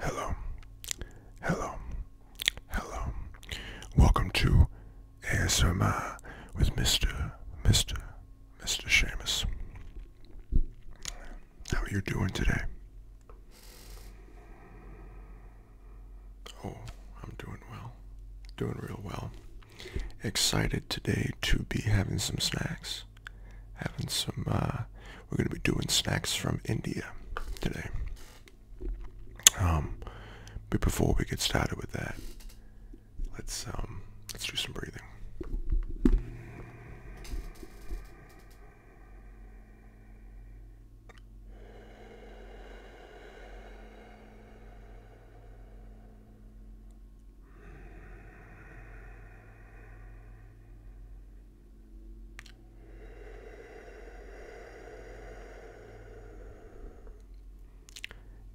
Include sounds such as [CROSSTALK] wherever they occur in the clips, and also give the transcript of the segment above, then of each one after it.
Hello, hello, hello. Welcome to ASMR with Mr. Mr. Mr. Seamus. How are you doing today? Oh, I'm doing well. Doing real well. Excited today to be having some snacks having some, uh, we're going to be doing snacks from India today. Um, but before we get started with that, let's, um, let's do some breathing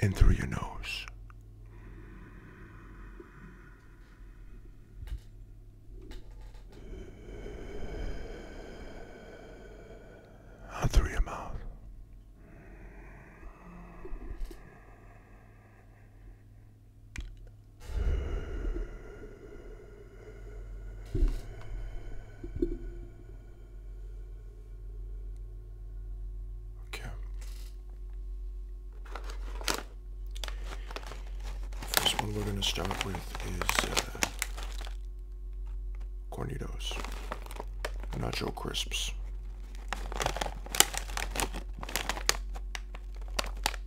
in through your nose. Out through your mouth. Okay. First one we're going to start with is uh, cornitos, nacho crisps.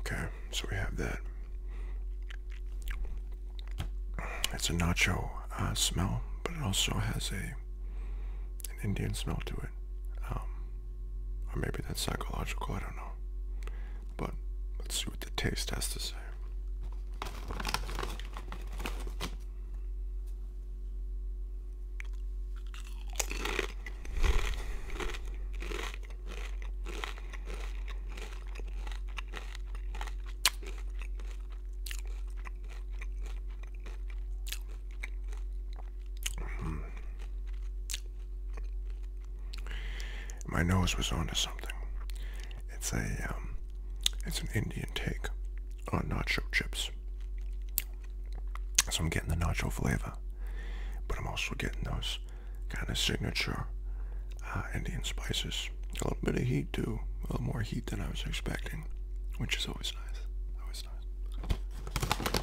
Okay, so we have that. It's a nacho uh, smell, but it also has a an Indian smell to it. Um, or maybe that's psychological, I don't know. But let's see what the taste has to say. Hmm. My nose was onto something. It's a, um, it's an Indian take on nacho chips. So I'm getting the nacho flavor, but I'm also getting those kind of signature uh, Indian spices. A little bit of heat too, a little more heat than I was expecting, which is always nice. Always nice.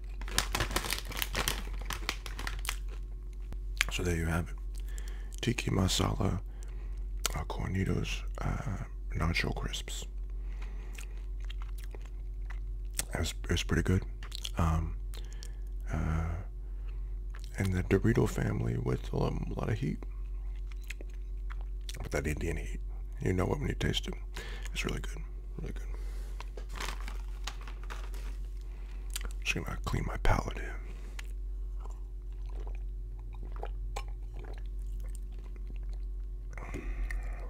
So there you have it. Tiki masala uh, cornitos uh, nacho crisps. It was pretty good. Um, uh, and the Dorito family with a lot of heat. with that Indian heat, you know it when you taste it. It's really good. Really good. Just gonna clean my palate here.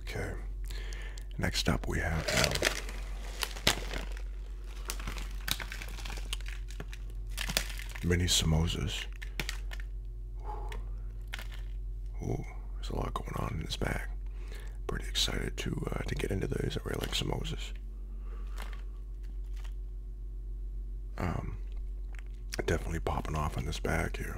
Okay. Next up, we have Mini samosas there's a lot going on in this bag. Pretty excited to uh, to get into those. I really like some Moses. Um, definitely popping off in this bag here.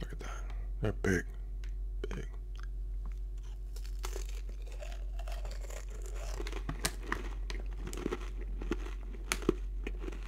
Look at that. They're big. Big.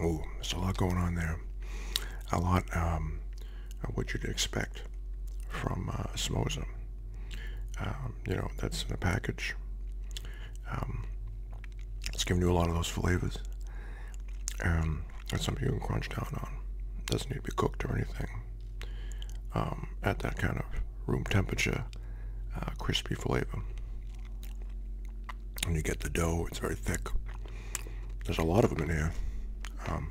Oh, there's a lot going on there. A lot um, of what you'd expect from uh, um, you know, that's in a package. Um, it's giving you a lot of those flavors. and that's something you can crunch down on. doesn't need to be cooked or anything. Um, at that kind of room temperature uh, crispy flavor. When you get the dough, it's very thick. There's a lot of them in here. Um,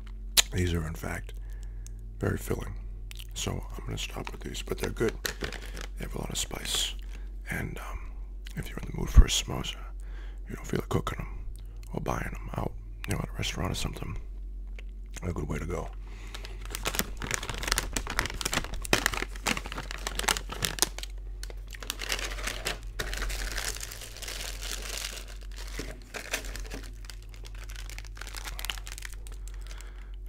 These are, in fact, very filling. So I'm going to stop with these, but they're good. They have a lot of spice. And um, if you're in the mood for a samosa, you don't feel like cooking them or buying them out, you know, at a restaurant or something, a good way to go.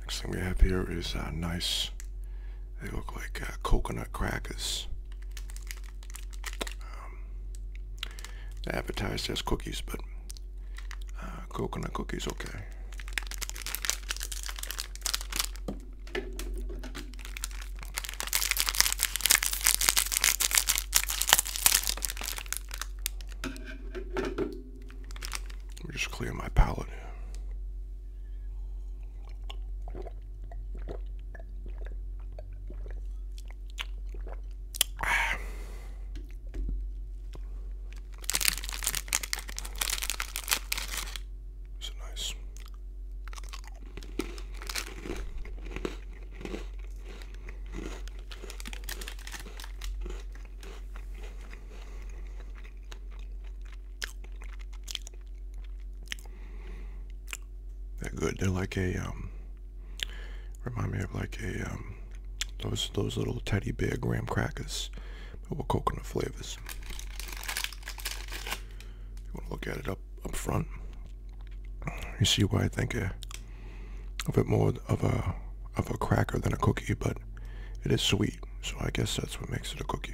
Next thing we have here is a uh, nice, they look like uh, coconut crackers. Um, advertised as cookies, but uh, coconut cookies, okay. Let me just clear my palate. It's a nice. That good. They're like a um, remind me of like a um, those those little teddy bear graham crackers, but with coconut flavors. If you want to look at it up up front. You see why I think a a bit more of a of a cracker than a cookie, but it is sweet, so I guess that's what makes it a cookie.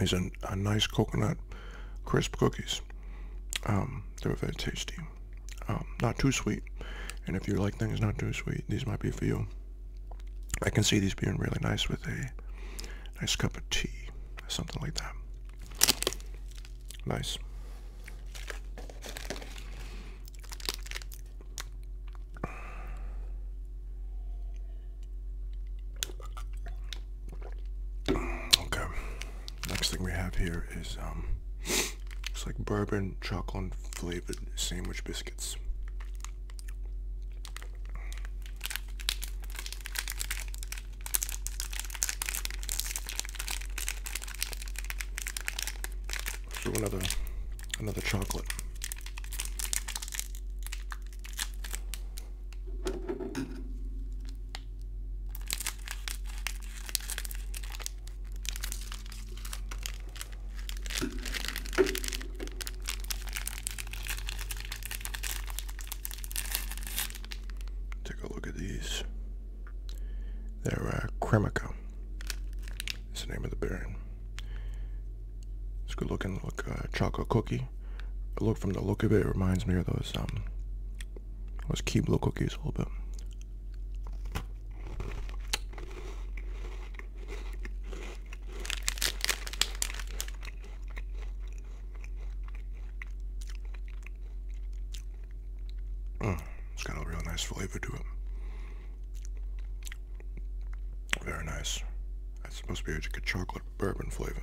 These are, are nice coconut crisp cookies. Um, they are very tasty. Um, not too sweet. And if you like things not too sweet, these might be for you. I can see these being really nice with a nice cup of tea, something like that. Nice. Okay next thing we have here is um it's like bourbon chocolate flavored sandwich biscuits so another another chocolate Take a look at these. They're a uh, Cremica. It's the name of the berry. It's good looking. Look, uh, chocolate cookie. look from the look of it, it reminds me of those um, Let's keep local cookies a little bit. Mm, it's got a real nice flavor to it. Very nice. That's supposed to be like a chocolate bourbon flavor.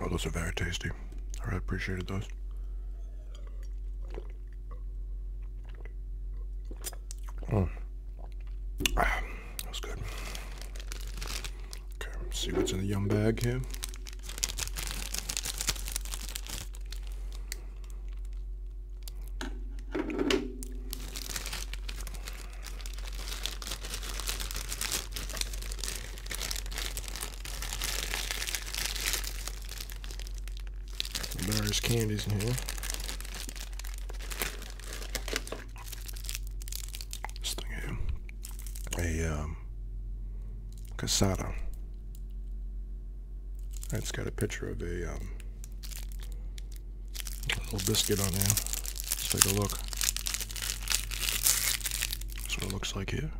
Oh, those are very tasty. I really appreciated those. Mm. Ah, that's good. Okay, let's see what's in the yum bag here. Various candies in here. This thing here. A um, casada. That's got a picture of a um, little biscuit on there. Let's take a look. That's what it looks like here.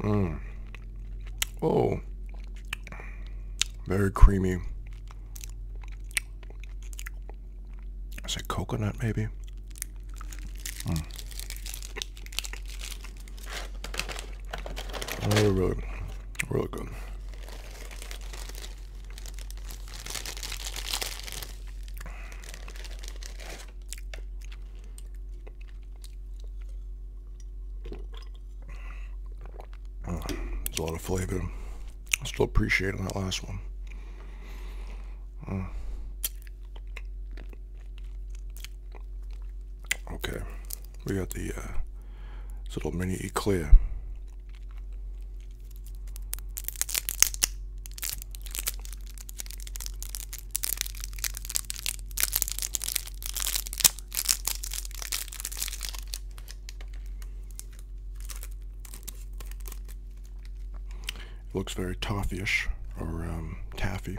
Mmm. Oh, very creamy. It's like coconut, maybe? Mm. really, really good there's a lot of flavor. I am still appreciating that last one. Mm. Okay, we got the uh, little mini eclair looks very toffee-ish or um, taffy.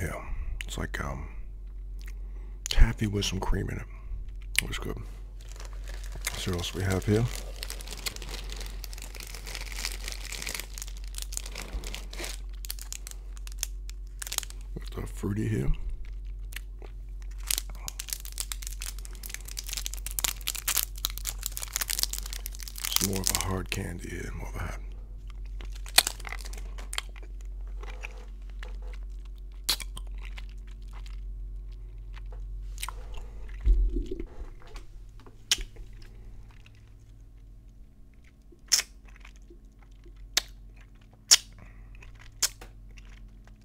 Yeah, it's like um, taffy with some cream in it. It was good. So what else we have here? With the fruity here. It's more of a hard candy, yeah, more of a hard.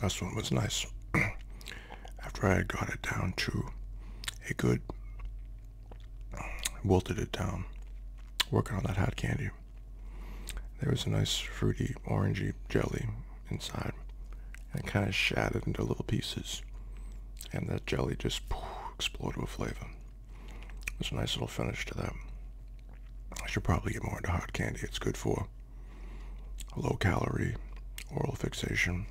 This one was nice. [CLEARS THROAT] after I had got it down to a good wilted it down, working on that hot candy. There was a nice fruity orangey jelly inside, and kind of shattered into little pieces, and that jelly just poof, exploded with flavor. It was a nice little finish to that. I should probably get more into hot candy. It's good for low calorie, oral fixation,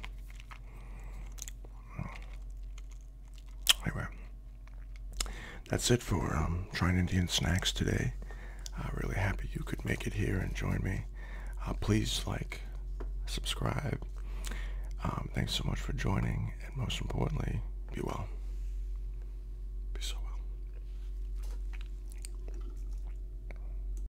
Anyway, that's it for um, trying Indian snacks today. Uh, really happy you could make it here and join me. Uh, please like, subscribe. Um, thanks so much for joining, and most importantly, be well. Be so well.